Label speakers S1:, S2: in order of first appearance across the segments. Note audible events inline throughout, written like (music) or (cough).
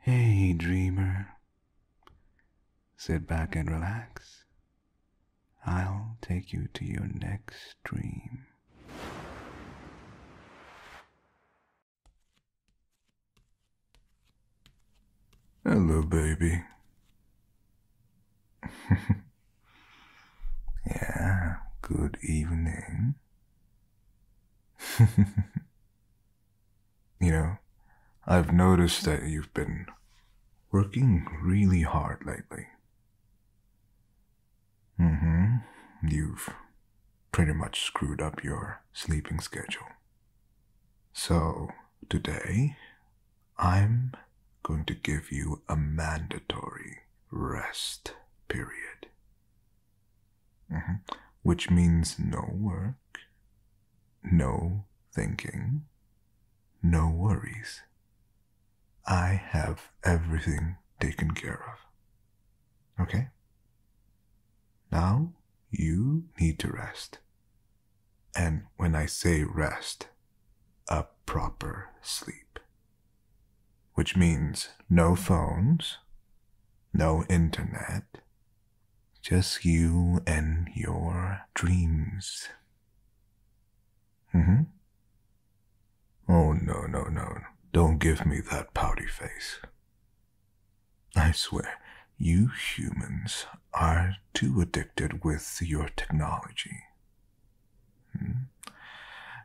S1: Hey, dreamer. Sit back and relax. I'll take you to your next dream. Hello, baby. (laughs) yeah, good evening. (laughs) you know, I've noticed that you've been working really hard lately. Mm hmm. You've pretty much screwed up your sleeping schedule. So, today, I'm going to give you a mandatory rest period. Mm-hmm. Which means no work, no thinking, no worries. I have everything taken care of. Okay? Now you need to rest. And when I say rest, a proper sleep. Which means no phones, no internet, just you and your dreams. Mm-hmm. Oh, no, no, no. Don't give me that pouty face. I swear, you humans are too addicted with your technology. Hmm?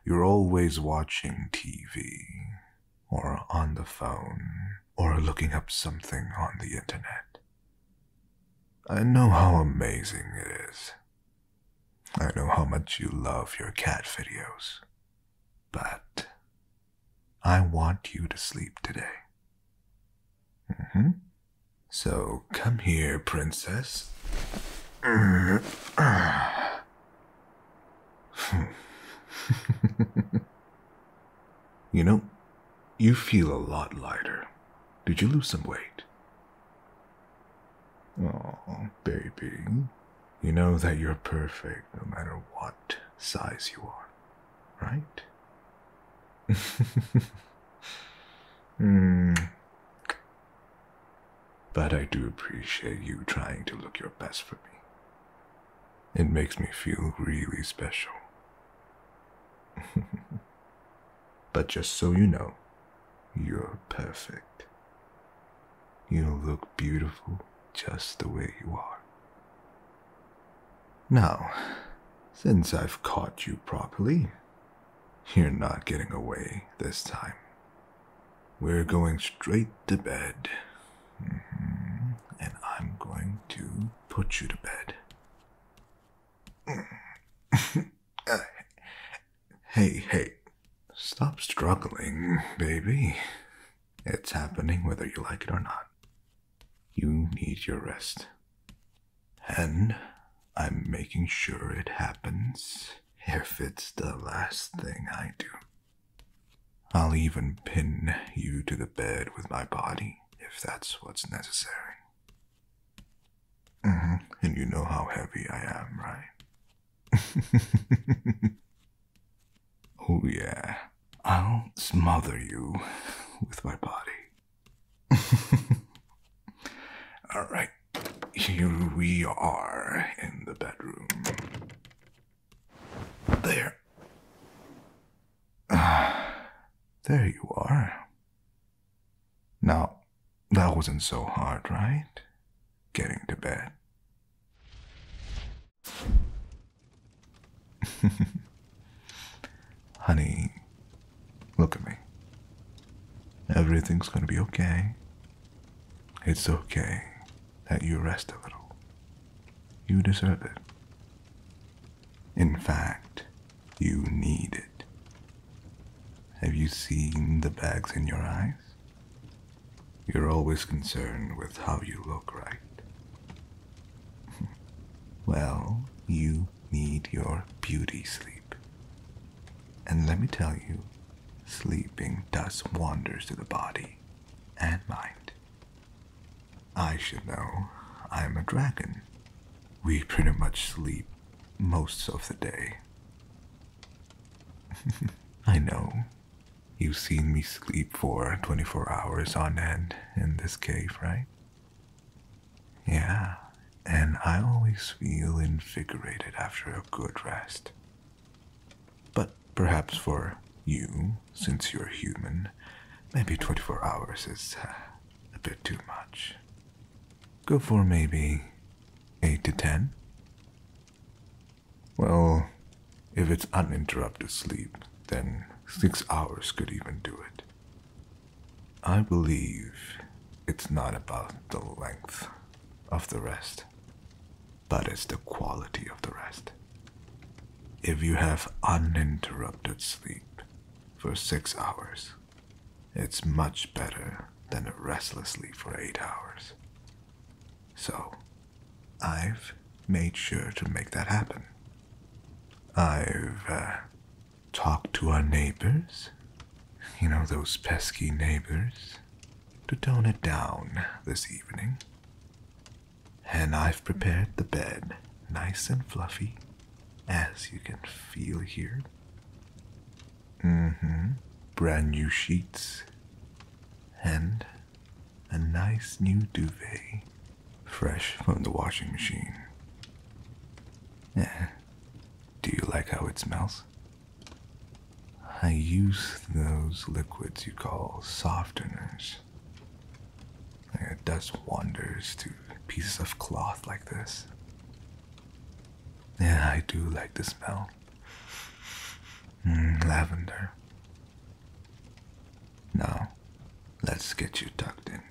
S1: You're always watching TV, or on the phone, or looking up something on the internet. I know how amazing it is. I know how much you love your cat videos. But I want you to sleep today. -hmm. So come here, princess. you know, you feel a lot lighter. Did you lose some weight? Oh, baby. You know that you're perfect no matter what size you are right? (laughs) Hmm. But I do appreciate you trying to look your best for me. It makes me feel really special. (laughs) but just so you know, you're perfect. You look beautiful just the way you are. Now, since I've caught you properly, you're not getting away this time. We're going straight to bed. Mm-hmm. And I'm going to put you to bed. Mm-hmm. (laughs) Uh, hey, hey. Stop struggling, baby. It's happening whether you like it or not. You need your rest. And I'm making sure it happens if it's the last thing I do. I'll even pin you to the bed with my body if that's what's necessary. Mm-hmm. And you know how heavy I am, right? (laughs) oh, yeah. I'll smother you with my body. (laughs) All right, here we are in the bedroom. There. Ah, (sighs) there you are. Now, that wasn't so hard, right? Getting to bed. (laughs) Honey, look at me. Everything's gonna be okay. It's okay that you rest a little. You deserve it. In fact, you need it. Have you seen the bags in your eyes? You're always concerned with how you look, right? Well, you need your beauty sleep. And let me tell you, sleeping does wonders to the body and mind. I should know. I'm a dragon. We pretty much sleep most of the day. (laughs) I know. You've seen me sleep for 24 hours on end in this cave, right? Yeah, and I always feel invigorated after a good rest. But perhaps for you, since you're human, maybe 24 hours is uh, a bit too much. Go for maybe 8 to 10? Well, if it's uninterrupted sleep, then 6 hours could even do it. I believe it's not about the length of the rest, but it's the quality of the rest. If you have uninterrupted sleep for six hours, it's much better than a restless sleep for eight hours. So, I've made sure to make that happen. I've uh, talked to our neighbors, you know, those pesky neighbors, to tone it down this evening. And I've prepared the bed nice and fluffy, as you can feel here. Mm hmm. Brand new sheets. And a nice new duvet fresh from the washing machine. Eh, do you like how it smells? I use those liquids you call softeners. It does wonders to pieces of cloth like this. Yeah, I do like the smell. Mm, lavender. Now, let's get you tucked in.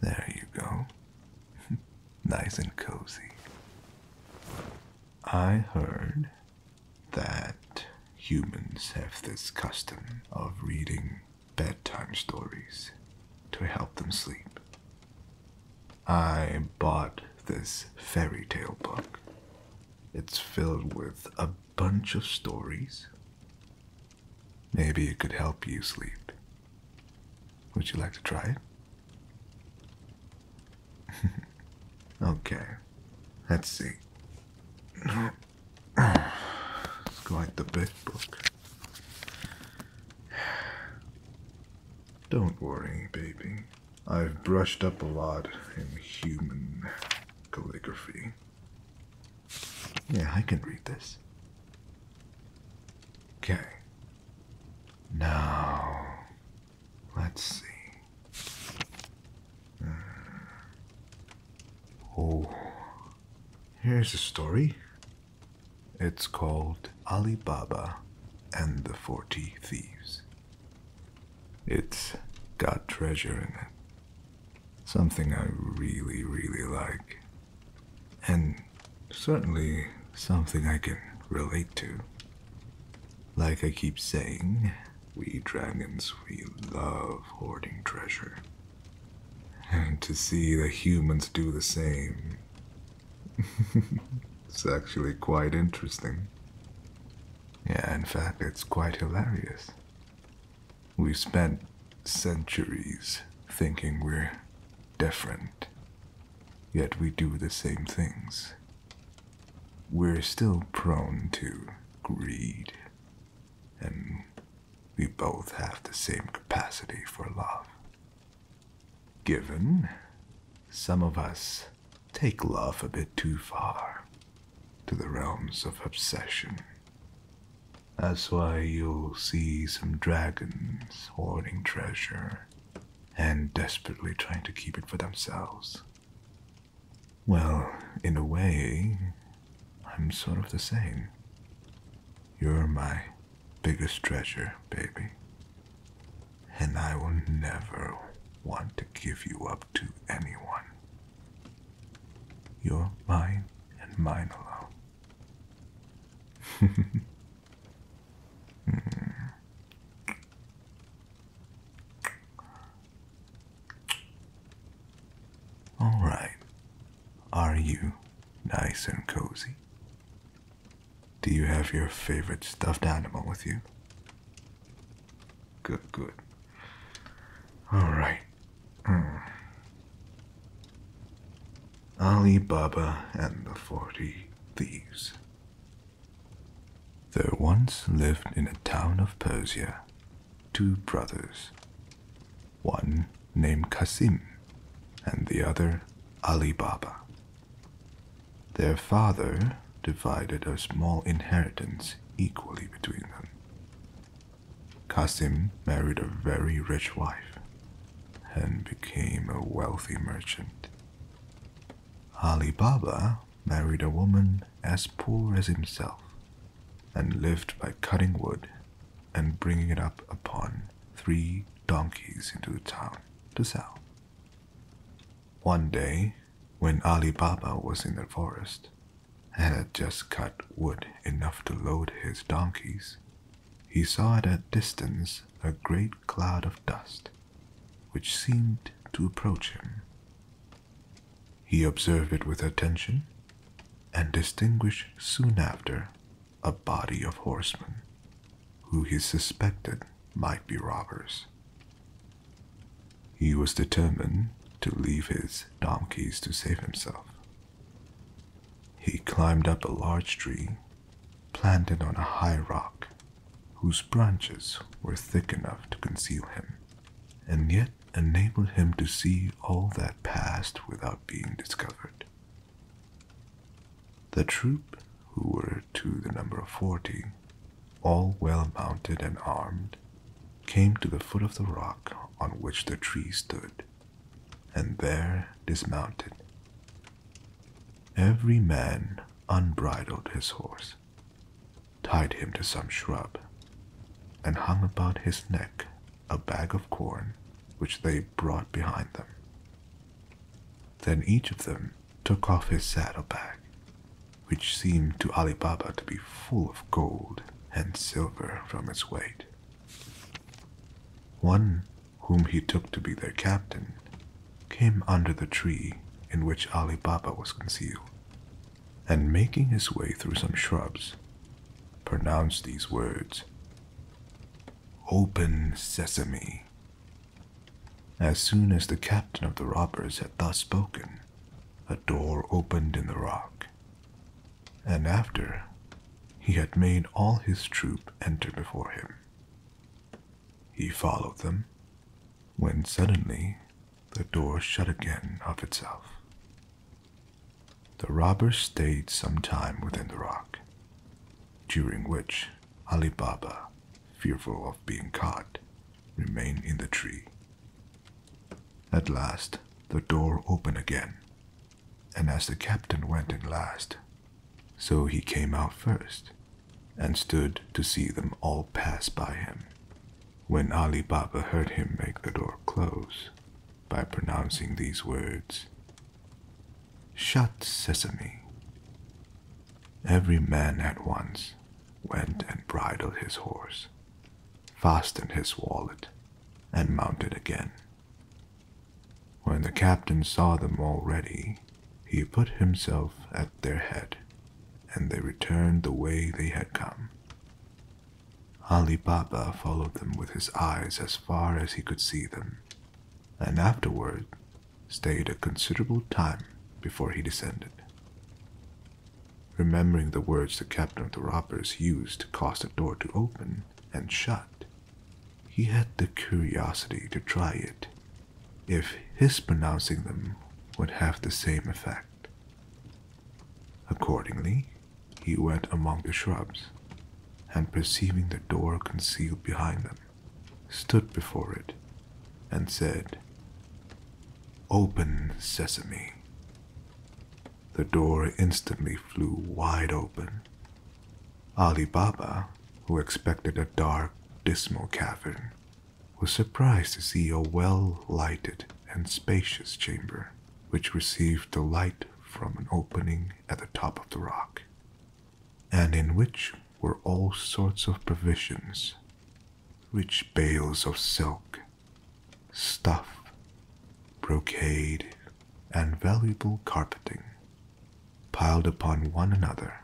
S1: There you go. (laughs) nice and cozy. I heard that humans have this custom of reading bedtime stories to help them sleep. I bought this fairy tale book. It's filled with a bunch of stories. Maybe it could help you sleep. Would you like to try it? (laughs) okay, let's see. it's quite the big book. Don't worry, baby. I've brushed up a lot I'm human calligraphy. Yeah, I can read this. Okay. Now, let's see. Uh, oh, here's a story. It's called Alibaba and the Forty Thieves. It's got treasure in it. Something I really, really like. And certainly something I can relate to. Like I keep saying, we dragons, we love hoarding treasure. And to see the humans do the same, it's (laughs) actually quite interesting. Yeah, in fact, it's quite hilarious. We have spent centuries thinking we're different, yet we do the same things. We're still prone to greed, and we both have the same capacity for love. Given some of us take love a bit too far to the realms of obsession. That's why you'll see some dragons hoarding treasure and desperately trying to keep it for themselves. Well, in a way, I'm sort of the same. You're my biggest treasure, baby. And I will never want to give you up to anyone. You're mine and mine alone. (laughs) All right. Are you nice and cozy? Do you have your favorite stuffed animal with you? Good, good. All right. Mm. Ali Baba and the Forty Thieves. There once lived in a town of Persia two brothers, one named Qasim and the other Ali Baba. Their father divided a small inheritance equally between them. Qasim married a very rich wife and became a wealthy merchant. Ali Baba married a woman as poor as himself and lived by cutting wood and bringing it up upon three donkeys into the town to sell. One day, when Ali Baba was in the forest and had just cut wood enough to load his donkeys, he saw at a distance a great cloud of dust which seemed to approach him. He observed it with attention and distinguished soon after a body of horsemen who he suspected might be robbers. He was determined to leave his donkeys to save himself. He climbed up a large tree planted on a high rock whose branches were thick enough to conceal him, and yet enabled him to see all that passed without being discovered. The troop, who were to the number of forty, all well mounted and armed, came to the foot of the rock on which the tree stood, and there dismounted. Every man unbridled his horse, tied him to some shrub, and hung about his neck a bag of corn which they brought behind them. Then each of them took off his saddle bag which seemed to Ali Baba to be full of gold and silver from its weight. One, whom he took to be their captain, came under the tree in which Ali Baba was concealed, and making his way through some shrubs, pronounced these words Open Sesame. As soon as the captain of the robbers had thus spoken, a door opened in the rock, and after he had made all his troop enter before him, he followed them, when suddenly the door shut again of itself. The robbers stayed some time within the rock, during which Ali Baba, fearful of being caught, remained in the tree at last, the door opened again, and as the captain went in last, so he came out first, and stood to see them all pass by him. When Ali Baba heard him make the door close, by pronouncing these words, Shut sesame! Every man at once went and bridled his horse, fastened his wallet, and mounted again. When the captain saw them all ready, he put himself at their head, and they returned the way they had come. Ali Baba followed them with his eyes as far as he could see them, and afterward stayed a considerable time before he descended remembering the words the captain of the robbers used to cause the door to open and shut. He had the curiosity to try it, if his pronouncing them would have the same effect. Accordingly, he went among the shrubs, and perceiving the door concealed behind them, stood before it, and said, Open sesame. The door instantly flew wide open. Ali Baba, who expected a dark, dismal cavern, was surprised to see a well lighted and spacious chamber, which received the light from an opening at the top of the rock, and in which were all sorts of provisions rich bales of silk stuff, brocade, and valuable carpeting piled upon one another,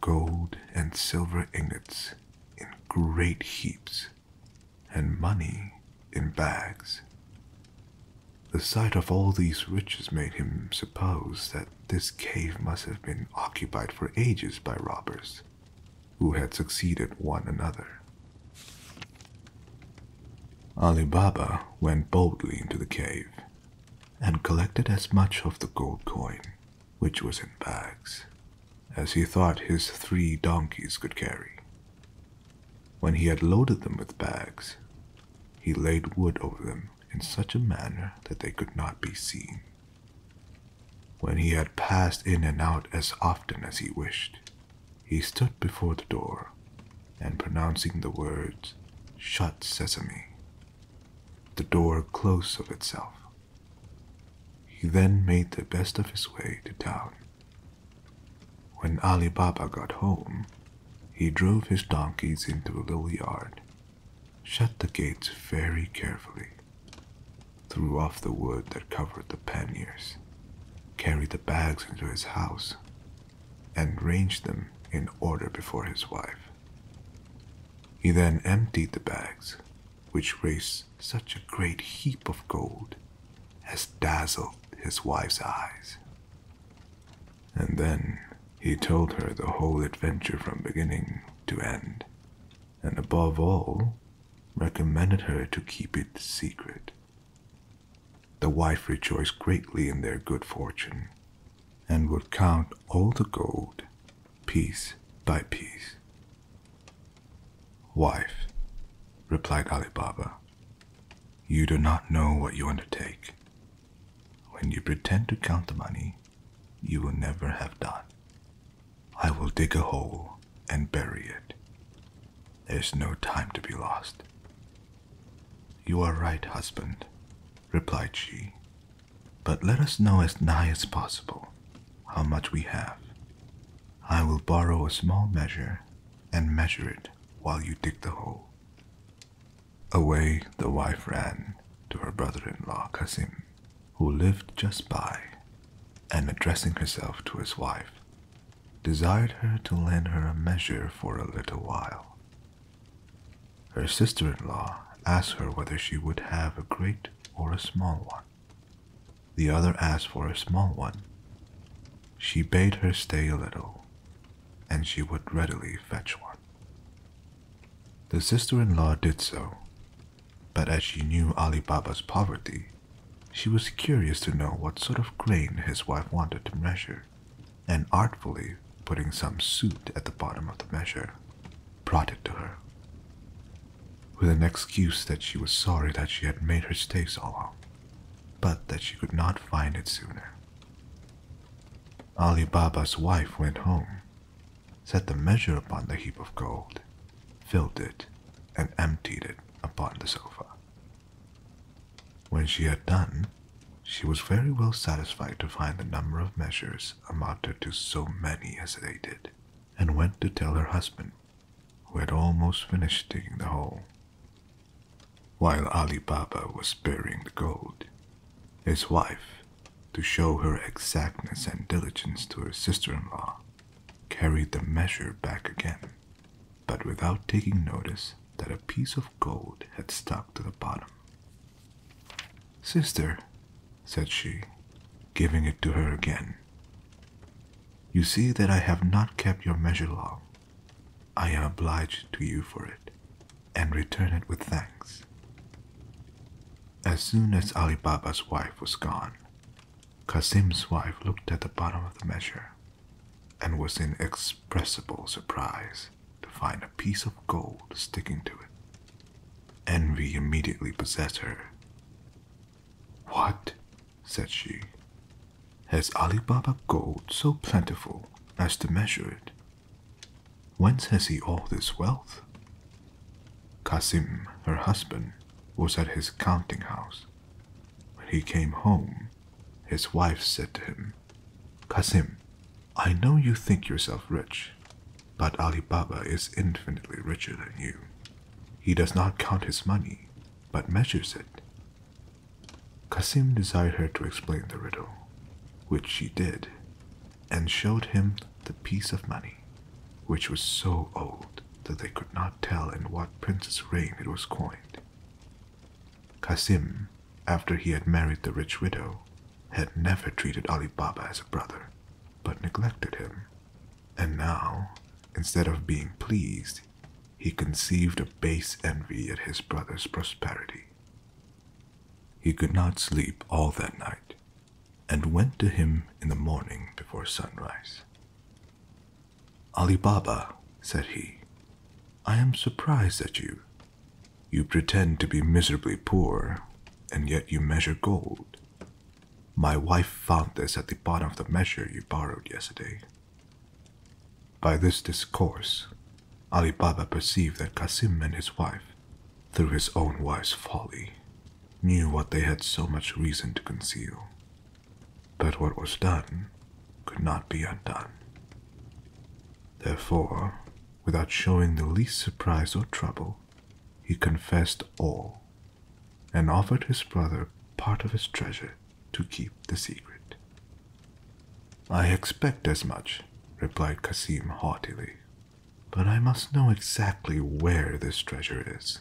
S1: gold and silver ingots in great heaps, and money in bags. The sight of all these riches made him suppose that this cave must have been occupied for ages by robbers, who had succeeded one another. Ali Baba went boldly into the cave and collected as much of the gold coin, which was in bags, as he thought his three donkeys could carry. When he had loaded them with bags, he laid wood over them in such a manner that they could not be seen. When he had passed in and out as often as he wished, he stood before the door and pronouncing the words, Shut Sesame, the door closed of itself. He then made the best of his way to town. When Ali Baba got home, he drove his donkeys into the little yard, shut the gates very carefully, threw off the wood that covered the panniers, carried the bags into his house, and ranged them in order before his wife. He then emptied the bags, which raised such a great heap of gold as dazzled his wife's eyes. And then he told her the whole adventure from beginning to end, and above all, recommended her to keep it secret. The wife rejoiced greatly in their good fortune, and would count all the gold, piece by piece. Wife, replied Ali Baba, you do not know what you undertake. When you pretend to count the money, you will never have done. I will dig a hole and bury it. There's no time to be lost. You are right, husband, replied she. But let us know as nigh as possible how much we have. I will borrow a small measure and measure it while you dig the hole. Away the wife ran to her brother in law, Kasim who lived just by, and addressing herself to his wife, desired her to lend her a measure for a little while. Her sister in law asked her whether she would have a great or a small one. The other asked for a small one. She bade her stay a little, and she would readily fetch one. The sister in law did so, but as she knew Ali Baba's poverty, she was curious to know what sort of grain his wife wanted to measure, and artfully putting some suit at the bottom of the measure, brought it to her. With an excuse that she was sorry that she had made her stay so long, but that she could not find it sooner. Ali Baba's wife went home set the measure upon the heap of gold, filled it, and emptied it upon the sofa. When she had done, she was very well satisfied to find the number of measures amounted to so many as they did, and went to tell her husband, who had almost finished digging the hole. While Ali Baba was burying the gold, his wife, to show her exactness and diligence to her sister in law, carried the measure back again, but without taking notice that a piece of gold had stuck to the bottom. Sister, said she, giving it to her again, you see that I have not kept your measure long. I am obliged to you for it, and return it with thanks. As soon as Ali Baba's wife was gone, Kasim's wife looked at the bottom of the measure and was in expressible surprise to find a piece of gold sticking to it. Envy immediately possessed her. What? said she. Has Ali Baba gold so plentiful as to measure it? Whence has he all this wealth? Kasim, her husband, was at his counting house. When he came home, his wife said to him, Kasim, I know you think yourself rich, but Ali Baba is infinitely richer than you. He does not count his money, but measures it. Kasim desired her to explain the riddle, which she did, and showed him the piece of money, which was so old that they could not tell in what prince's reign it was coined. Qasim, after he had married the rich widow, had never treated Ali Baba as a brother, but neglected him. And now, instead of being pleased, he conceived a base envy at his brother's prosperity. He could not sleep all that night, and went to him in the morning before sunrise. Ali Baba, said he, I am surprised at you. You pretend to be miserably poor, and yet you measure gold. My wife found this at the bottom of the measure you borrowed yesterday. By this discourse, Ali Baba perceived that Kasim and his wife through his own wise folly, knew what they had so much reason to conceal. But what was done could not be undone. Therefore, without showing the least surprise or trouble, he confessed all, and offered his brother part of his treasure to keep the secret. I expect as much, replied Cassim haughtily. But I must know exactly where this treasure is,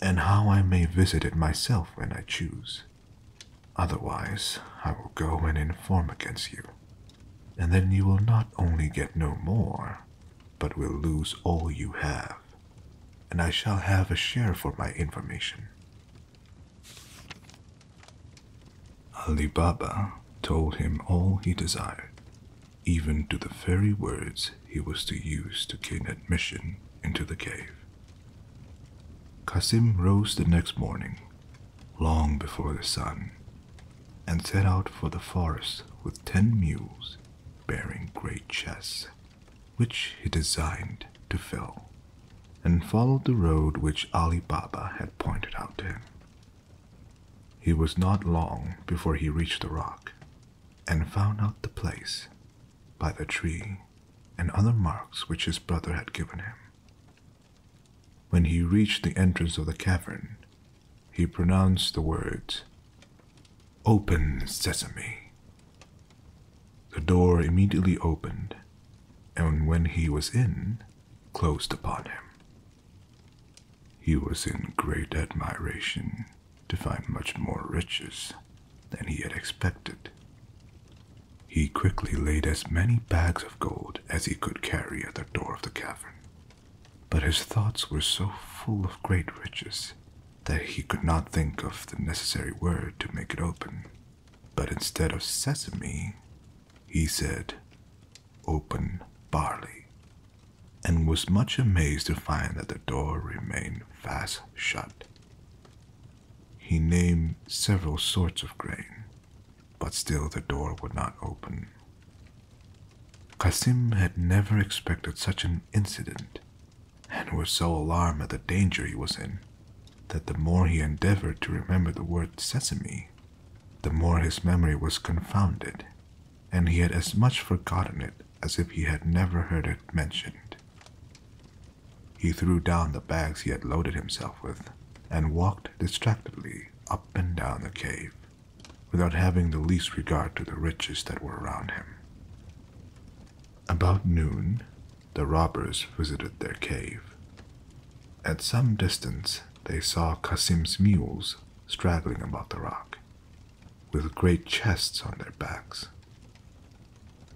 S1: and how I may visit it myself when I choose. Otherwise, I will go and inform against you, and then you will not only get no more, but will lose all you have, and I shall have a share for my information. Ali Baba told him all he desired, even to the very words he was to use to gain admission into the cave. Kasim rose the next morning, long before the sun, and set out for the forest with ten mules bearing great chests, which he designed to fill, and followed the road which Ali Baba had pointed out to him. He was not long before he reached the rock and found out the place by the tree and other marks which his brother had given him. When he reached the entrance of the cavern, he pronounced the words, Open Sesame. The door immediately opened, and when he was in, closed upon him. He was in great admiration to find much more riches than he had expected. He quickly laid as many bags of gold as he could carry at the door of the cavern. But his thoughts were so full of great riches that he could not think of the necessary word to make it open. But instead of sesame, he said, Open barley and was much amazed to find that the door remained fast shut. He named several sorts of grain, but still the door would not open. Kasim had never expected such an incident, and was so alarmed at the danger he was in that the more he endeavored to remember the word sesame, the more his memory was confounded, and he had as much forgotten it as if he had never heard it mentioned. He threw down the bags he had loaded himself with and walked distractedly up and down the cave without having the least regard to the riches that were around him. About noon, the robbers visited their cave. At some distance, they saw Kasim's mules straggling about the rock, with great chests on their backs.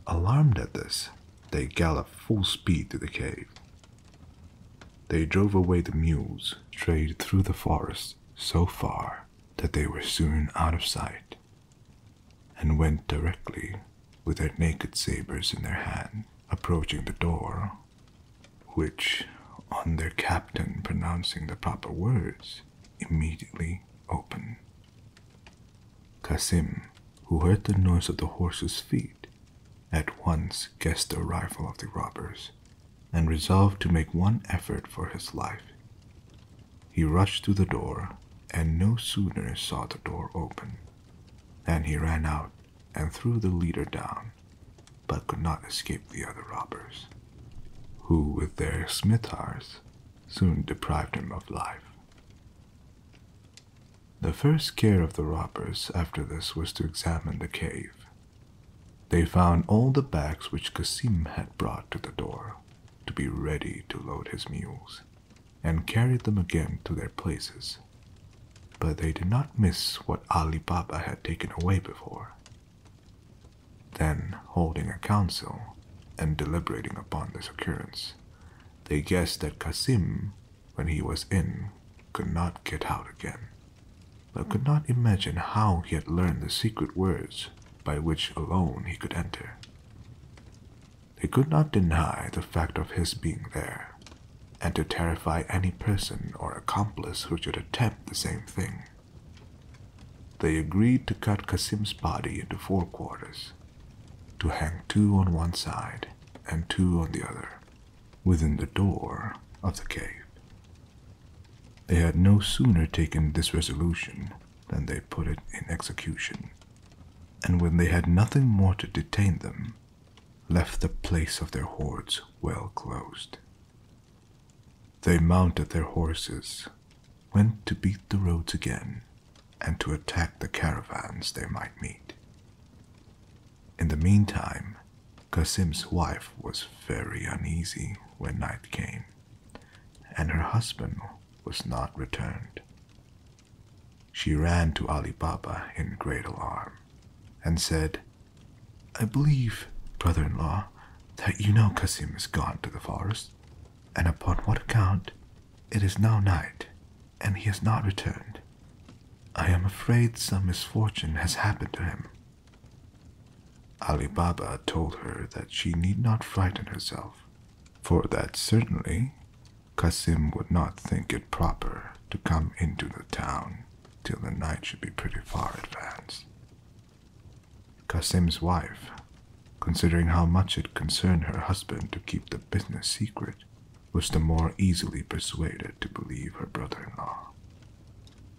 S1: Alarmed at this, they galloped full speed to the cave. They drove away the mules, strayed through the forest so far that they were soon out of sight, and went directly, with their naked sabers in their hand, approaching the door, which, on their captain pronouncing the proper words, immediately open. Kasim, who heard the noise of the horse's feet, at once guessed the arrival of the robbers and resolved to make one effort for his life. He rushed to the door and no sooner saw the door open than he ran out and threw the leader down, but could not escape the other robbers, who with their smitars soon deprived him of life. The first care of the robbers after this was to examine the cave. They found all the bags which Cassim had brought to the door to be ready to load his mules, and carried them again to their places. But they did not miss what Ali Baba had taken away before, then, holding a council and deliberating upon this occurrence, they guessed that Kasim, when he was in, could not get out again, but could not imagine how he had learned the secret words by which alone he could enter. They could not deny the fact of his being there, and to terrify any person or accomplice who should attempt the same thing. They agreed to cut Kasim's body into four quarters, to hang two on one side and two on the other, within the door of the cave. They had no sooner taken this resolution than they put it in execution, and when they had nothing more to detain them, left the place of their hoards well closed. They mounted their horses, went to beat the roads again, and to attack the caravans they might meet. In the meantime, Kasim's wife was very uneasy when night came, and her husband was not returned. She ran to Ali Baba in great alarm and said, I believe, brother in law, that you know Kasim is gone to the forest, and upon what account it is now night, and he has not returned. I am afraid some misfortune has happened to him. Ali Baba told her that she need not frighten herself, for that certainly Kasim would not think it proper to come into the town till the night should be pretty far advanced. Kasim's wife, considering how much it concerned her husband to keep the business secret, was the more easily persuaded to believe her brother in law.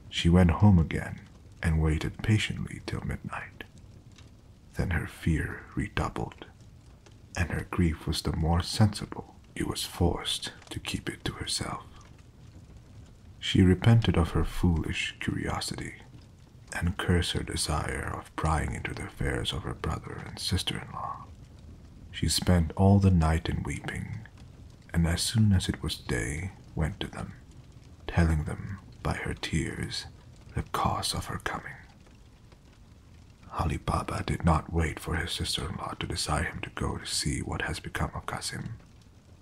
S1: She went home again and waited patiently till midnight. Then her fear redoubled, and her grief was the more sensible it was forced to keep it to herself. She repented of her foolish curiosity and cursed her desire of prying into the affairs of her brother and sister in law. She spent all the night in weeping, and as soon as it was day, went to them, telling them by her tears the cause of her coming. Ali Baba did not wait for his sister in law to desire him to go to see what has become of Kasim,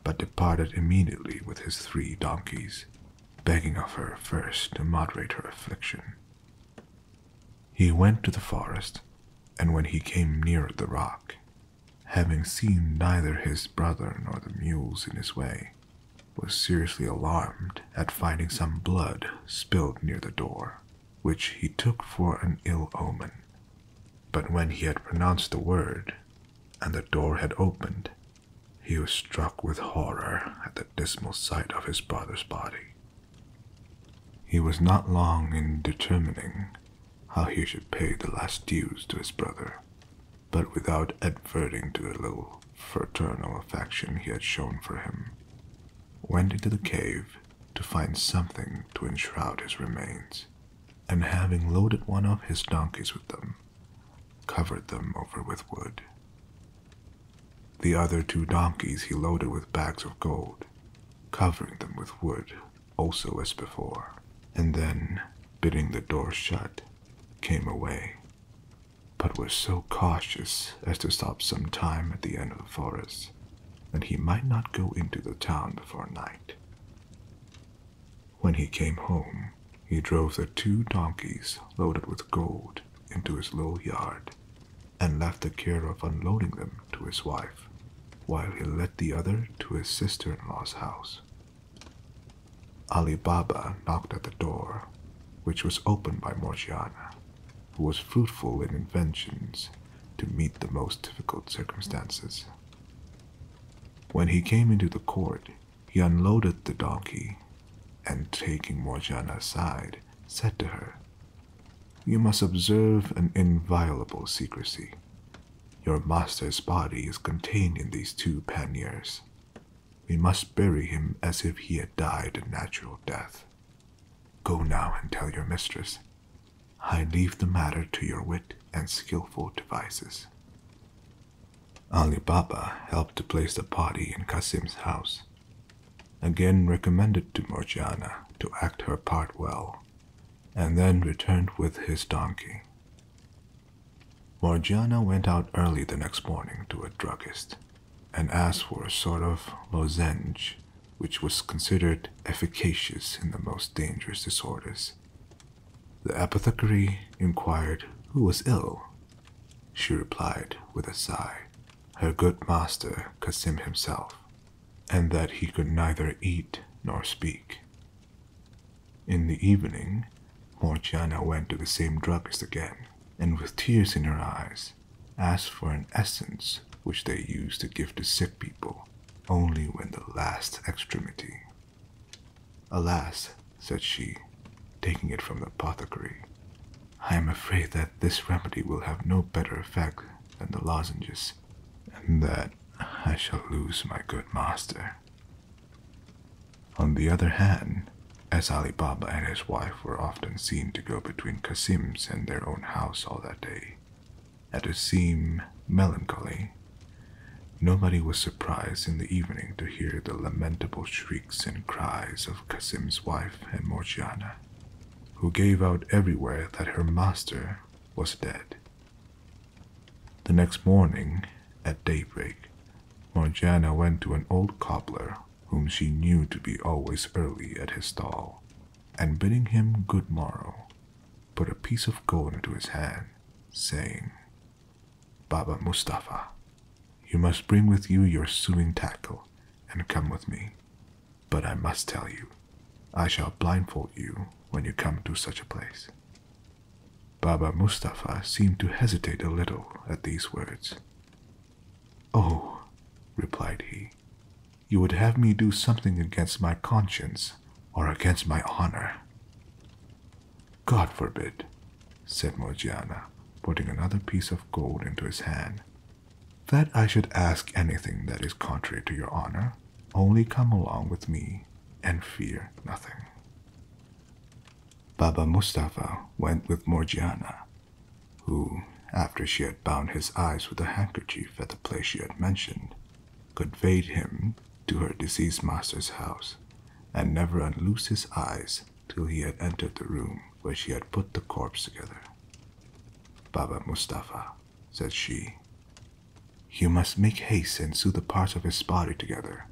S1: but departed immediately with his three donkeys, begging of her first to moderate her affliction. He went to the forest, and when he came near the rock, having seen neither his brother nor the mules in his way, was seriously alarmed at finding some blood spilled near the door, which he took for an ill omen. But when he had pronounced the word, and the door had opened, he was struck with horror at the dismal sight of his brother's body. He was not long in determining how he should pay the last dues to his brother, but without adverting to the little fraternal affection he had shown for him, went into the cave to find something to enshroud his remains and having loaded one of his donkeys with them, covered them over with wood. The other two donkeys he loaded with bags of gold, covering them with wood also as before, and then, bidding the door shut, came away, but was so cautious as to stop some time at the end of the forest, that he might not go into the town before night. When he came home, he drove the two donkeys loaded with gold into his low yard and left the care of unloading them to his wife, while he led the other to his sister in law's house. Ali Baba knocked at the door, which was opened by Morgiana, who was fruitful in inventions to meet the most difficult circumstances. When he came into the court, he unloaded the donkey and, taking Morgiana aside, said to her, You must observe an inviolable secrecy. Your master's body is contained in these two panniers. We must bury him as if he had died a natural death. Go now and tell your mistress. I leave the matter to your wit and skilful devices. Ali Baba helped to place the party in Kasim's house, again recommended to Morgiana to act her part well, and then returned with his donkey. Morgiana went out early the next morning to a druggist and asked for a sort of lozenge, which was considered efficacious in the most dangerous disorders, the apothecary inquired who was ill. She replied with a sigh, her good master Kasim himself, and that he could neither eat nor speak. In the evening, Morgiana went to the same druggist again, and with tears in her eyes, asked for an essence which they use to give to sick people only when the last extremity. Alas, said she, taking it from the apothecary, I am afraid that this remedy will have no better effect than the lozenges, and that I shall lose my good master. On the other hand, as Ali Baba and his wife were often seen to go between Kasim's and their own house all that day, and to seem melancholy Nobody was surprised in the evening to hear the lamentable shrieks and cries of Kasim's wife and Morgiana, who gave out everywhere that her master was dead. The next morning, at daybreak, Morgiana went to an old cobbler whom she knew to be always early at his stall, and bidding him good morrow, put a piece of gold into his hand, saying, Baba Mustapha, you must bring with you your sewing tackle and come with me. But I must tell you, I shall blindfold you when you come to such a place. Baba Mustapha seemed to hesitate a little at these words. Oh, replied he, you would have me do something against my conscience or against my honor. God forbid, said Morgiana, putting another piece of gold into his hand, that I should ask anything that is contrary to your honor. Only come along with me and fear nothing. Baba Mustafa went with Morgiana, who, after she had bound his eyes with a handkerchief at the place she had mentioned, conveyed him to her deceased master's house, and never unloosed his eyes till he had entered the room where she had put the corpse together. Baba Mustafa, said she, you must make haste and sew the parts of his body together.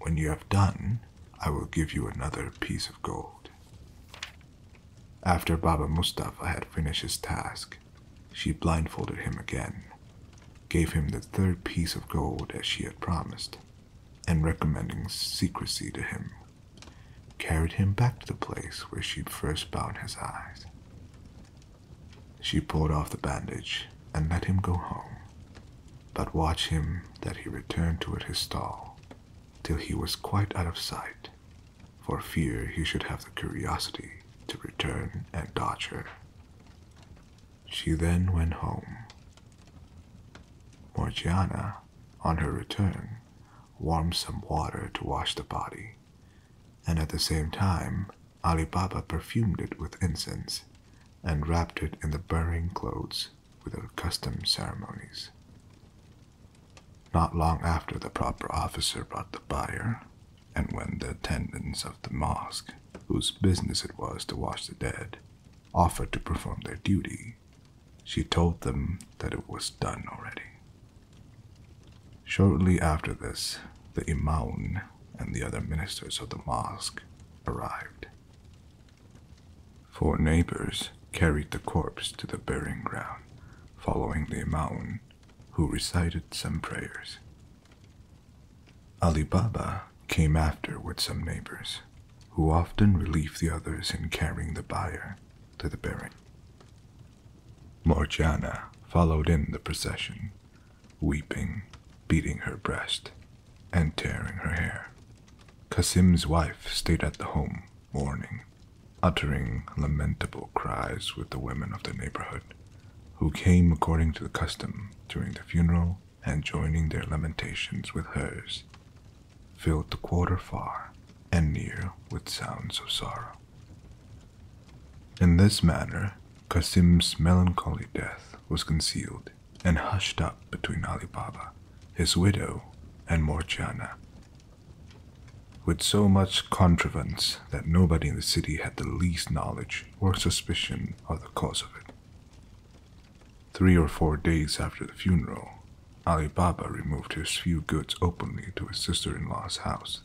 S1: When you have done, I will give you another piece of gold. After Baba Mustafa had finished his task, she blindfolded him again, gave him the third piece of gold as she had promised, and recommending secrecy to him, carried him back to the place where she first bound his eyes. She pulled off the bandage and let him go home, but watched him that he returned to his stall till he was quite out of sight, for fear he should have the curiosity to return and dodge her. She then went home. Morgiana, on her return, warmed some water to wash the body, and at the same time, Ali Baba perfumed it with incense and wrapped it in the burying clothes with her custom ceremonies. Not long after the proper officer brought the buyer, and when the attendants of the mosque, whose business it was to wash the dead, offered to perform their duty, she told them that it was done already. Shortly after this, the Imaun and the other ministers of the mosque arrived. Four neighbors carried the corpse to the burying ground, following the Imaun, who recited some prayers. Ali Baba came after with some neighbors, who often relieved the others in carrying the buyer to the bearing. Morgiana followed in the procession, weeping, beating her breast, and tearing her hair. Kasim's wife stayed at the home, mourning, uttering lamentable cries with the women of the neighborhood who came according to the custom during the funeral and joining their lamentations with hers, filled the quarter far and near with sounds of sorrow. In this manner, Qasim's melancholy death was concealed and hushed up between Ali Baba, his widow, and Morgiana. With so much contrivance that nobody in the city had the least knowledge or suspicion of the cause of it. Three or four days after the funeral, Ali Baba removed his few goods openly to his sister in law's house,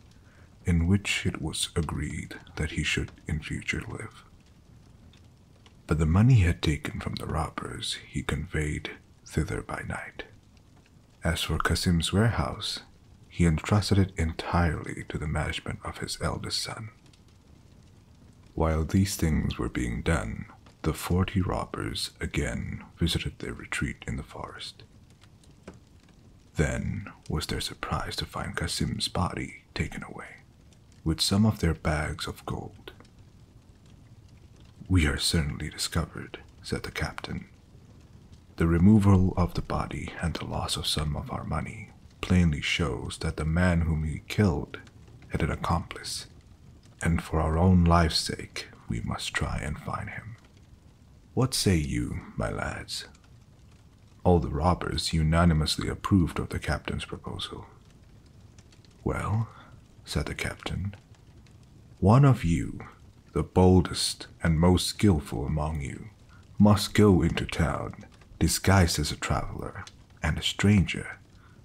S1: in which it was agreed that he should in future live. But the money he had taken from the robbers he conveyed thither by night. As for Kasim's warehouse, he entrusted it entirely to the management of his eldest son. While these things were being done, the forty robbers again visited their retreat in the forest. Then was their surprise to find Kasim's body taken away, with some of their bags of gold. We are certainly discovered, said the captain. The removal of the body and the loss of some of our money plainly shows that the man whom he killed had an accomplice, and for our own life's sake, we must try and find him. What say you, my lads? All the robbers unanimously approved of the captain's proposal. Well, said the captain, one of you, the boldest and most skilful among you, must go into town disguised as a traveler and a stranger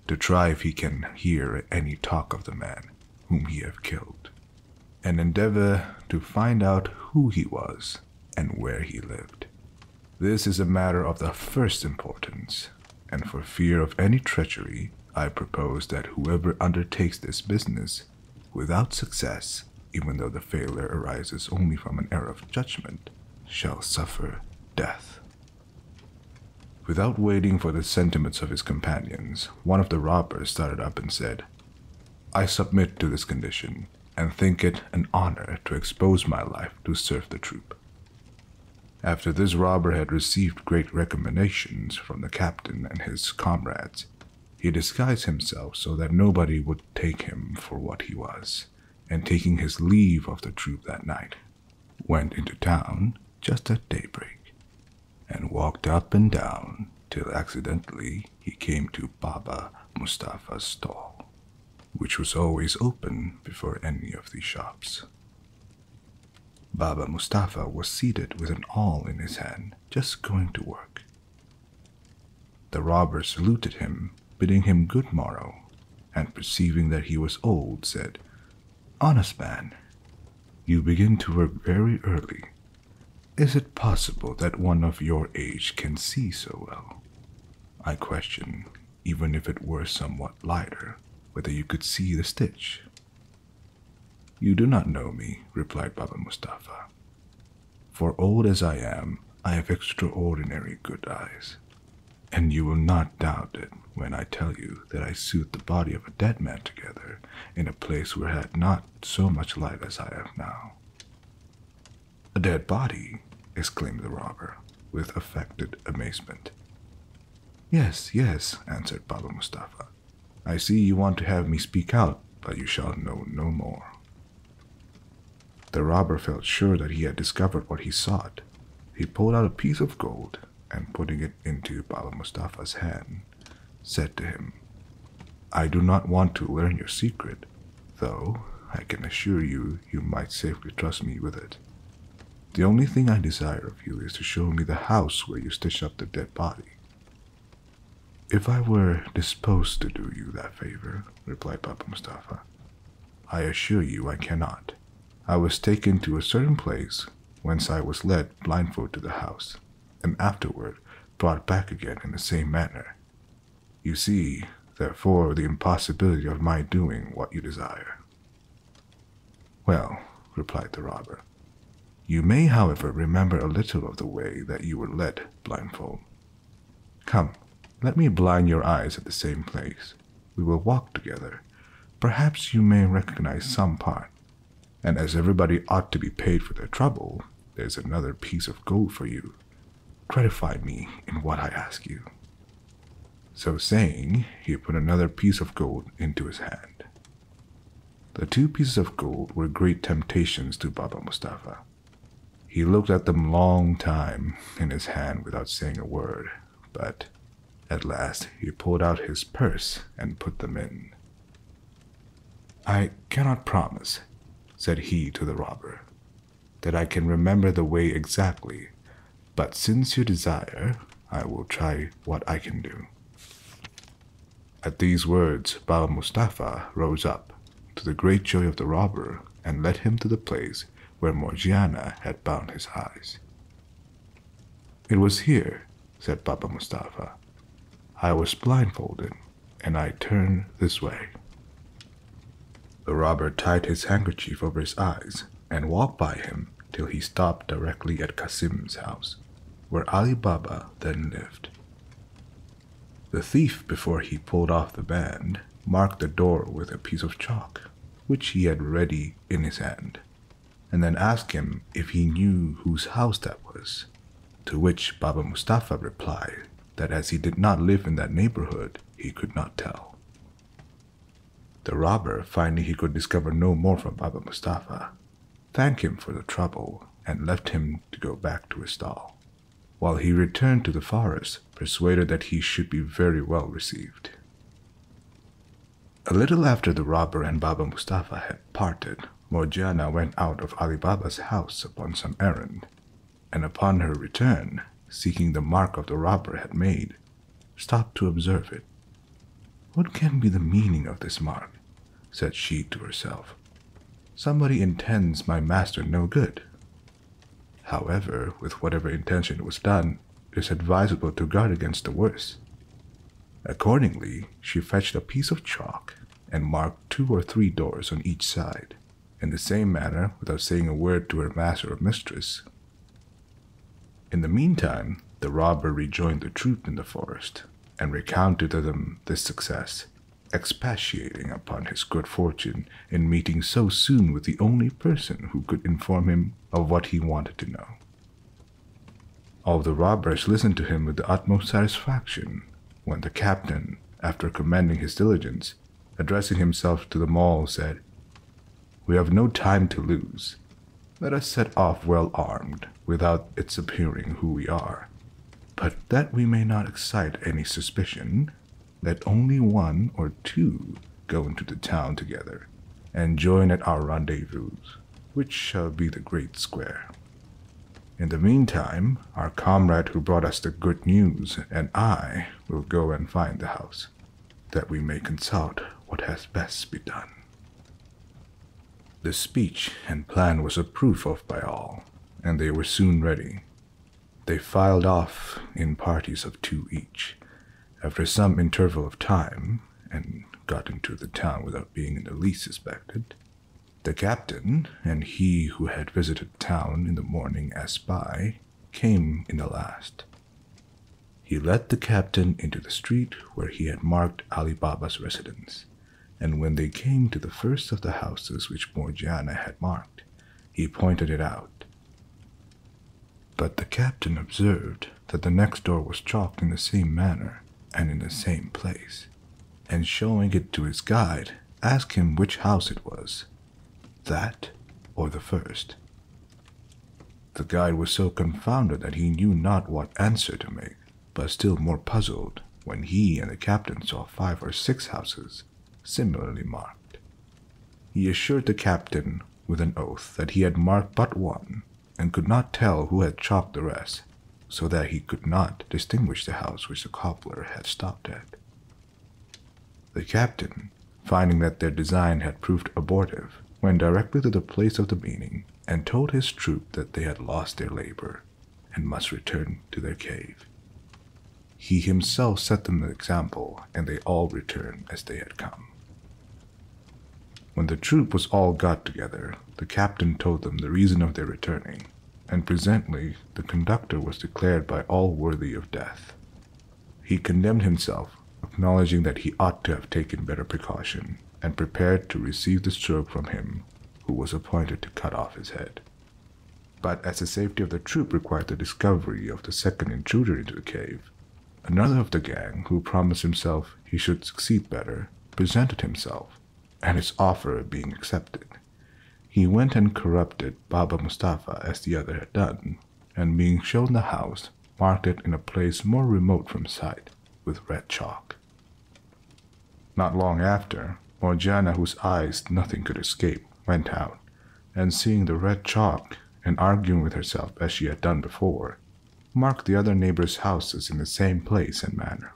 S1: to try if he can hear any talk of the man whom he have killed, and endeavor to find out who he was and where he lived. This is a matter of the first importance, and for fear of any treachery, I propose that whoever undertakes this business without success even though the failure arises only from an error of judgment, shall suffer death. Without waiting for the sentiments of his companions, one of the robbers started up and said, I submit to this condition, and think it an honor to expose my life to serve the troop. After this robber had received great recommendations from the captain and his comrades, he disguised himself so that nobody would take him for what he was and taking his leave of the troop that night, went into town just at daybreak, and walked up and down till accidentally he came to Baba Mustafa's stall, which was always open before any of the shops. Baba Mustafa was seated with an awl in his hand, just going to work. The robber saluted him, bidding him good morrow, and perceiving that he was old, said, Honest man, you begin to work very early. Is it possible that one of your age can see so well? I question, even if it were somewhat lighter, whether you could see the stitch. You do not know me, replied Baba Mustafa. For old as I am, I have extraordinary good eyes, and you will not doubt it when I tell you that I sewed the body of a dead man together in a place where I had not so much light as I have now. A dead body? exclaimed the robber, with affected amazement. Yes, yes, answered Pablo Mustafa. I see you want to have me speak out, but you shall know no more. The robber felt sure that he had discovered what he sought. He pulled out a piece of gold and, putting it into Baba Mustafa's hand, said to him, I do not want to learn your secret, though I can assure you you might safely trust me with it. The only thing I desire of you is to show me the house where you stitched up the dead body. If I were disposed to do you that favor, replied Papa Mustafa. I assure you I cannot. I was taken to a certain place, whence I was led blindfold to the house, and afterward brought back again in the same manner. You see, therefore, the impossibility of my doing what you desire. Well, replied the robber, you may, however, remember a little of the way that you were led blindfold. Come, let me blind your eyes at the same place. We will walk together. Perhaps you may recognize some part. And as everybody ought to be paid for their trouble, there's another piece of gold for you. Gratify me in what I ask you. So saying, he put another piece of gold into his hand. The two pieces of gold were great temptations to Baba Mustafa. He looked at them long time in his hand without saying a word, but at last he pulled out his purse and put them in. I cannot promise, said he to the robber, that I can remember the way exactly, but since you desire, I will try what I can do. At these words, Baba Mustafa rose up to the great joy of the robber, and led him to the place where Morgiana had bound his eyes. It was here, said Papa Mustapha, I was blindfolded, and I turned this way. The robber tied his handkerchief over his eyes and walked by him till he stopped directly at Kasim's house, where Ali Baba then lived. The thief, before he pulled off the band, marked the door with a piece of chalk, which he had ready in his hand, and then asked him if he knew whose house that was. To which Baba Mustafa replied that as he did not live in that neighborhood, he could not tell. The robber, finding he could discover no more from Baba Mustafa, thanked him for the trouble and left him to go back to his stall while he returned to the forest, persuaded that he should be very well received. A little after the robber and Baba Mustafa had parted, Morgiana went out of Ali Baba's house upon some errand, and upon her return, seeking the mark the robber had made, stopped to observe it. What can be the meaning of this mark? said she to herself. Somebody intends my master no good, However, with whatever intention it was done, it is advisable to guard against the worst. Accordingly, she fetched a piece of chalk and marked two or three doors on each side, in the same manner without saying a word to her master or mistress. In the meantime, the robber rejoined the troop in the forest and recounted to them this success, expatiating upon his good fortune in meeting so soon with the only person who could inform him of what he wanted to know. All the robbers listened to him with the utmost satisfaction when the captain, after commanding his diligence, addressing himself to them all, said, We have no time to lose. Let us set off well armed, without its appearing who we are. But that we may not excite any suspicion, let only one or two go into the town together and join at our rendezvous, which shall be the great square. In the meantime, our comrade who brought us the good news and I will go and find the house, that we may consult what has best be done. The speech and plan was approved of by all, and they were soon ready, they filed off in parties of two each, after some interval of time, and got into the town without being in the least suspected. The captain and he who had visited the town in the morning as spy came in the last. He led the captain into the street where he had marked Ali Baba's residence, and when they came to the first of the houses which Morgiana had marked, he pointed it out. But the captain observed that the next door was chalked in the same manner and in the same place, and showing it to his guide, asked him which house it was that or the first. The guide was so confounded that he knew not what answer to make, but still more puzzled when he and the captain saw five or six houses similarly marked. He assured the captain with an oath that he had marked but one and could not tell who had chopped the rest, so that he could not distinguish the house which the cobbler had stopped at. The captain, finding that their design had proved abortive, went directly to the place of the meeting and told his troop that they had lost their labor and must return to their cave. He himself set them an example, and they all returned as they had come. When the troop was all got together, the captain told them the reason of their returning, and presently the conductor was declared by all worthy of death. He condemned himself, acknowledging that he ought to have taken better precaution, and prepared to receive the stroke from him who was appointed to cut off his head. But as the safety of the troop required the discovery of the second intruder into the cave, another of the gang, who promised himself he should succeed better, presented himself, and his offer being accepted, he went and corrupted Baba Mustapha as the other had done, and being shown the house, marked it in a place more remote from sight with red chalk. Not long after, Morgiana, whose eyes nothing could escape, went out and seeing the red chalk and arguing with herself as she had done before, marked the other neighbors' houses in the same place and manner.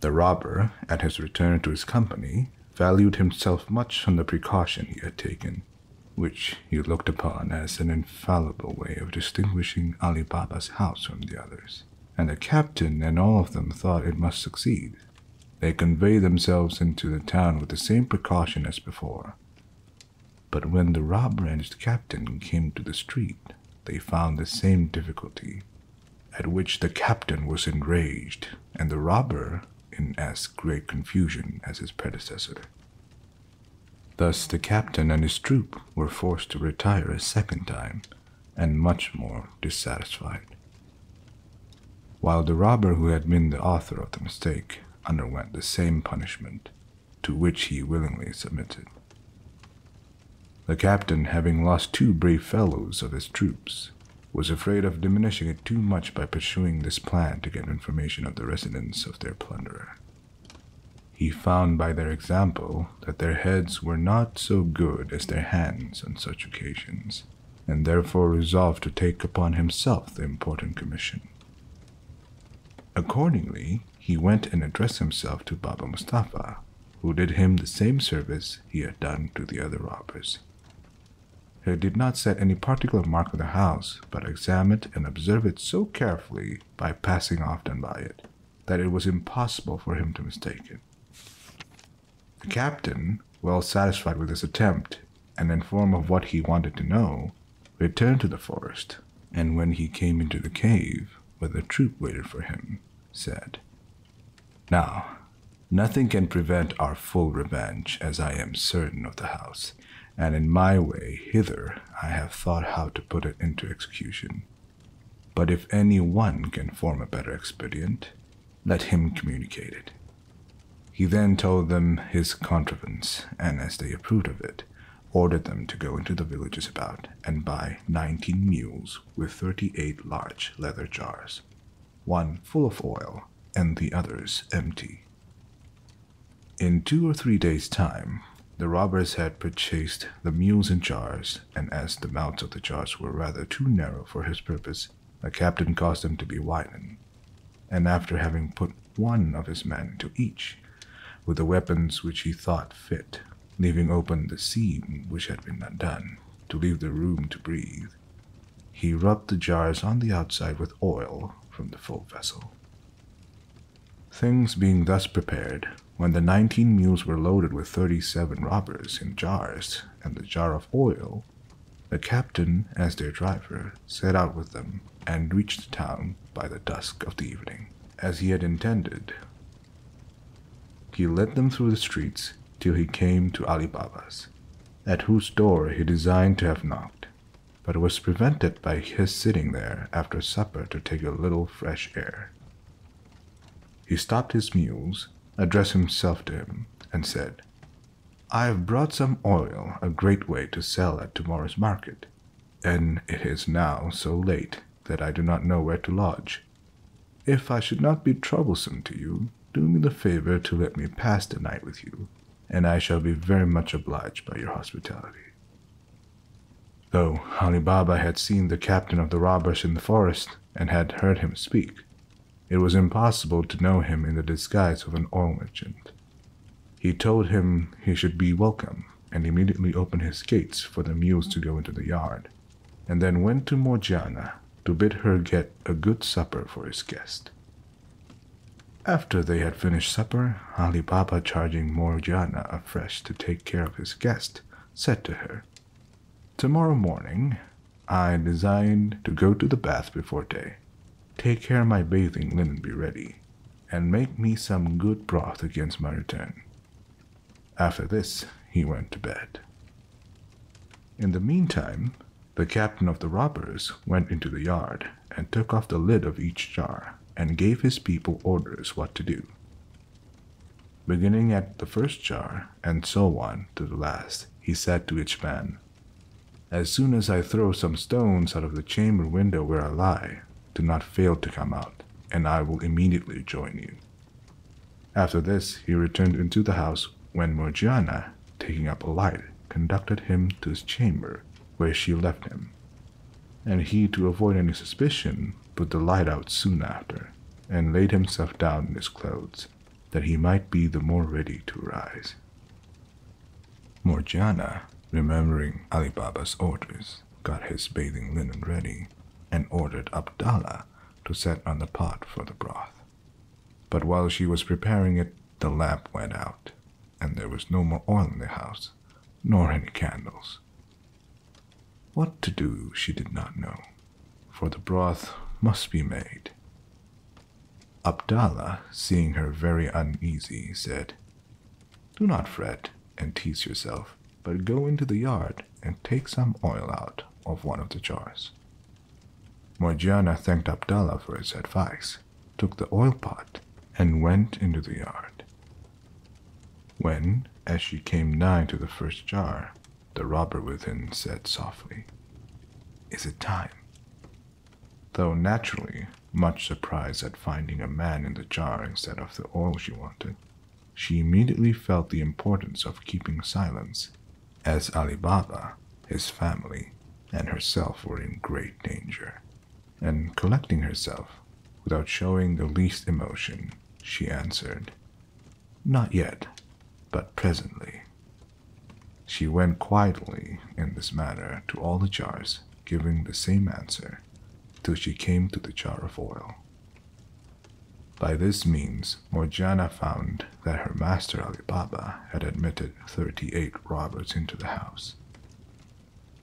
S1: The robber, at his return to his company, valued himself much on the precaution he had taken, which he looked upon as an infallible way of distinguishing Ali Baba's house from the others, and the captain and all of them thought it must succeed. They conveyed themselves into the town with the same precaution as before. But when the rob ranch captain came to the street, they found the same difficulty, at which the captain was enraged, and the robber in as great confusion as his predecessor. Thus the captain and his troop were forced to retire a second time, and much more dissatisfied. While the robber who had been the author of the mistake underwent the same punishment, to which he willingly submitted. The captain, having lost two brave fellows of his troops, was afraid of diminishing it too much by pursuing this plan to get information of the residence of their plunderer. He found by their example that their heads were not so good as their hands on such occasions, and therefore resolved to take upon himself the important commission. Accordingly, he went and addressed himself to Baba Mustapha, who did him the same service he had done to the other robbers. He did not set any particular mark on the house, but examined and observed it so carefully by passing often by it that it was impossible for him to mistake it. The captain, well satisfied with this attempt and informed of what he wanted to know, returned to the forest, and when he came into the cave where the troop waited for him, said, Now, nothing can prevent our full revenge, as I am certain of the house, and in my way hither I have thought how to put it into execution. But if any one can form a better expedient, let him communicate it. He then told them his contrivance, and as they approved of it, ordered them to go into the villages about and buy nineteen mules with thirty eight large leather jars, one full of oil and the others empty. In two or three days' time, the robbers had purchased the mules and jars, and as the mouths of the jars were rather too narrow for his purpose, the captain caused them to be widened, and after having put one of his men to each, with the weapons which he thought fit, leaving open the seam which had been undone, to leave the room to breathe, he rubbed the jars on the outside with oil from the full vessel. Things being thus prepared, when the nineteen mules were loaded with thirty seven robbers in jars, and the jar of oil the captain, as their driver, set out with them and reached the town by the dusk of the evening, as he had intended. He led them through the streets till he came to Ali Baba's, at whose door he designed to have knocked, but was prevented by his sitting there after supper to take a little fresh air. He stopped his mules addressed himself to him, and said, I have brought some oil a great way to sell at tomorrow's market, and it is now so late that I do not know where to lodge. If I should not be troublesome to you, do me the favor to let me pass the night with you, and I shall be very much obliged by your hospitality. Though Ali Baba had seen the captain of the robbers in the forest, and had heard him speak, it was impossible to know him in the disguise of an oil merchant. He told him he should be welcome, and immediately opened his gates for the mules to go into the yard, and then went to Morgiana to bid her get a good supper for his guest. After they had finished supper, Ali Baba, charging Morgiana afresh to take care of his guest, said to her, Tomorrow morning, I design to go to the bath before day, take care my bathing linen be ready, and make me some good broth against my return. After this, he went to bed. In the meantime, the captain of the robbers went into the yard and took off the lid of each jar and gave his people orders what to do. Beginning at the first jar, and so on to the last, he said to each man, As soon as I throw some stones out of the chamber window where I lie, do not fail to come out, and I will immediately join you. After this, he returned into the house when Morgiana, taking up a light, conducted him to his chamber, where she left him. And he, to avoid any suspicion, put the light out soon after, and laid himself down in his clothes, that he might be the more ready to rise. Morgiana, remembering Ali Baba's orders, got his bathing linen ready and ordered Abdallah to set on the pot for the broth. But while she was preparing it, the lamp went out, and there was no more oil in the house, nor any candles. What to do she did not know for the broth must be made. Abdallah, seeing her very uneasy, said, Do not fret and tease yourself, but go into the yard and take some oil out of one of the jars. Morgiana thanked Abdallah for his advice, took the oil pot, and went into the yard. When, as she came nigh to the first jar, the robber within said softly. Is it time? Though naturally much surprised at finding a man in the jar instead of the oil she wanted, she immediately felt the importance of keeping silence, as Ali Baba, his family, and herself were in great danger. And collecting herself, without showing the least emotion, she answered, not yet, but presently. She went quietly in this manner to all the jars, giving the same answer, till she came to the jar of oil. By this means, Morgiana found that her master Ali Baba had admitted thirty eight robbers into the house.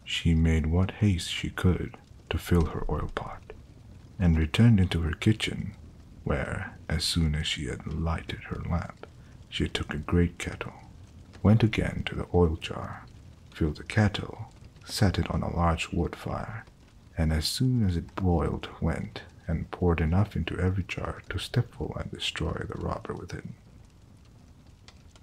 S1: She made what haste she could to fill her oil pot, and returned into her kitchen where, as soon as she had lighted her lamp, she took a great kettle, went again to the oil jar, filled the kettle, set it on a large wood fire, and as soon as it boiled, went and poured enough into every jar to stifle and destroy the robber within.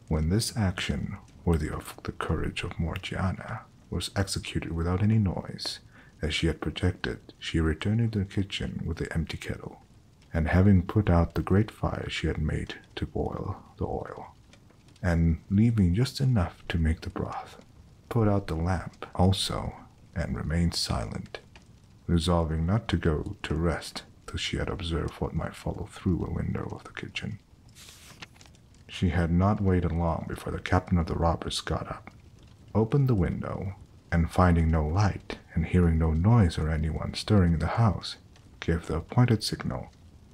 S1: When this action, worthy of the courage of Morgiana, was executed without any noise, as she had projected, she returned to the kitchen with the empty kettle, and having put out the great fire she had made to boil the oil, and leaving just enough to make the broth, put out the lamp also and remained silent, resolving not to go to rest till she had observed what might follow through a window of the kitchen. She had not waited long before the captain of the robbers got up, opened the window, and finding no light and hearing no noise or anyone stirring in the house, gave the appointed signal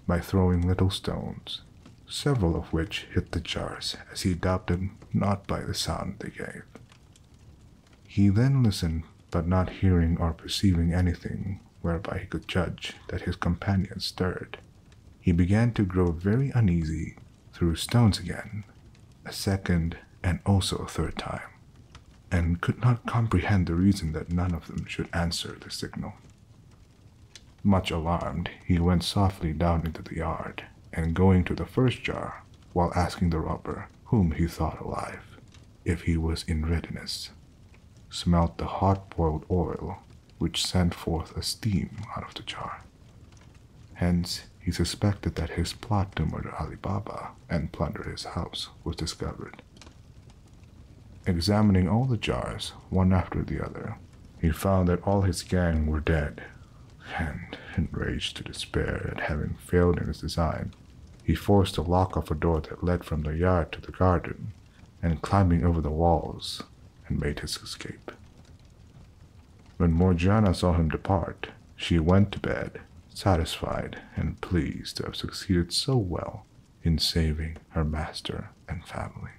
S1: by throwing little stones, several of which hit the jars as he doubted not by the sound they gave. He then listened, but not hearing or perceiving anything whereby he could judge that his companion stirred. He began to grow very uneasy threw stones again, a second and also a third time, and could not comprehend the reason that none of them should answer the signal. Much alarmed, he went softly down into the yard, and going to the first jar, while asking the robber, whom he thought alive, if he was in readiness, smelt the hot boiled oil, which sent forth a steam out of the jar. Hence, he suspected that his plot to murder Ali Baba and plunder his house was discovered. Examining all the jars, one after the other, he found that all his gang were dead, and, enraged to despair at having failed in his design, he forced the lock of a door that led from the yard to the garden, and climbing over the walls, made his escape. When Morgiana saw him depart, she went to bed, satisfied and pleased to have succeeded so well in saving her master and family.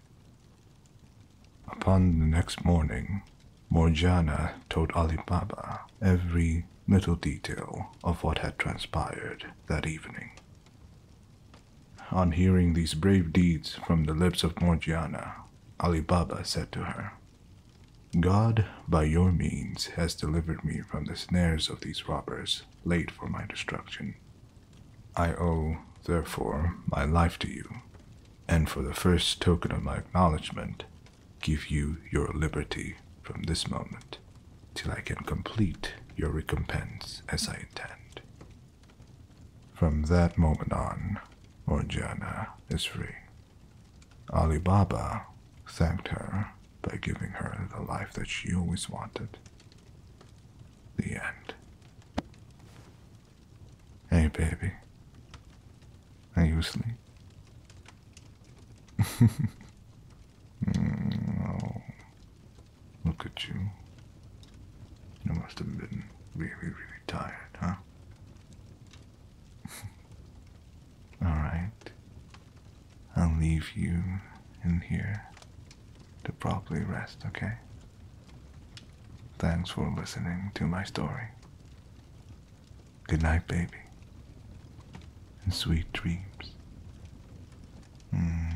S1: Upon the next morning, Morgiana told Ali Baba every little detail of what had transpired that evening. On hearing these brave deeds from the lips of Morgiana, Ali Baba said to her, God, by your means, has delivered me from the snares of these robbers, late for my destruction. I owe, therefore, my life to you, and for the first token of my acknowledgment, give you your liberty from this moment, till I can complete your recompense as I intend. From that moment on, Morgiana is free. Alibaba thanked her by giving her the life that she always wanted. The end. Hey, baby. Are you asleep? (laughs) oh, look at you. You must have been really, really tired, huh? (laughs) All right. I'll leave you in here to properly rest, okay? Thanks for listening to my story. Good night, baby. And sweet dreams. Mm.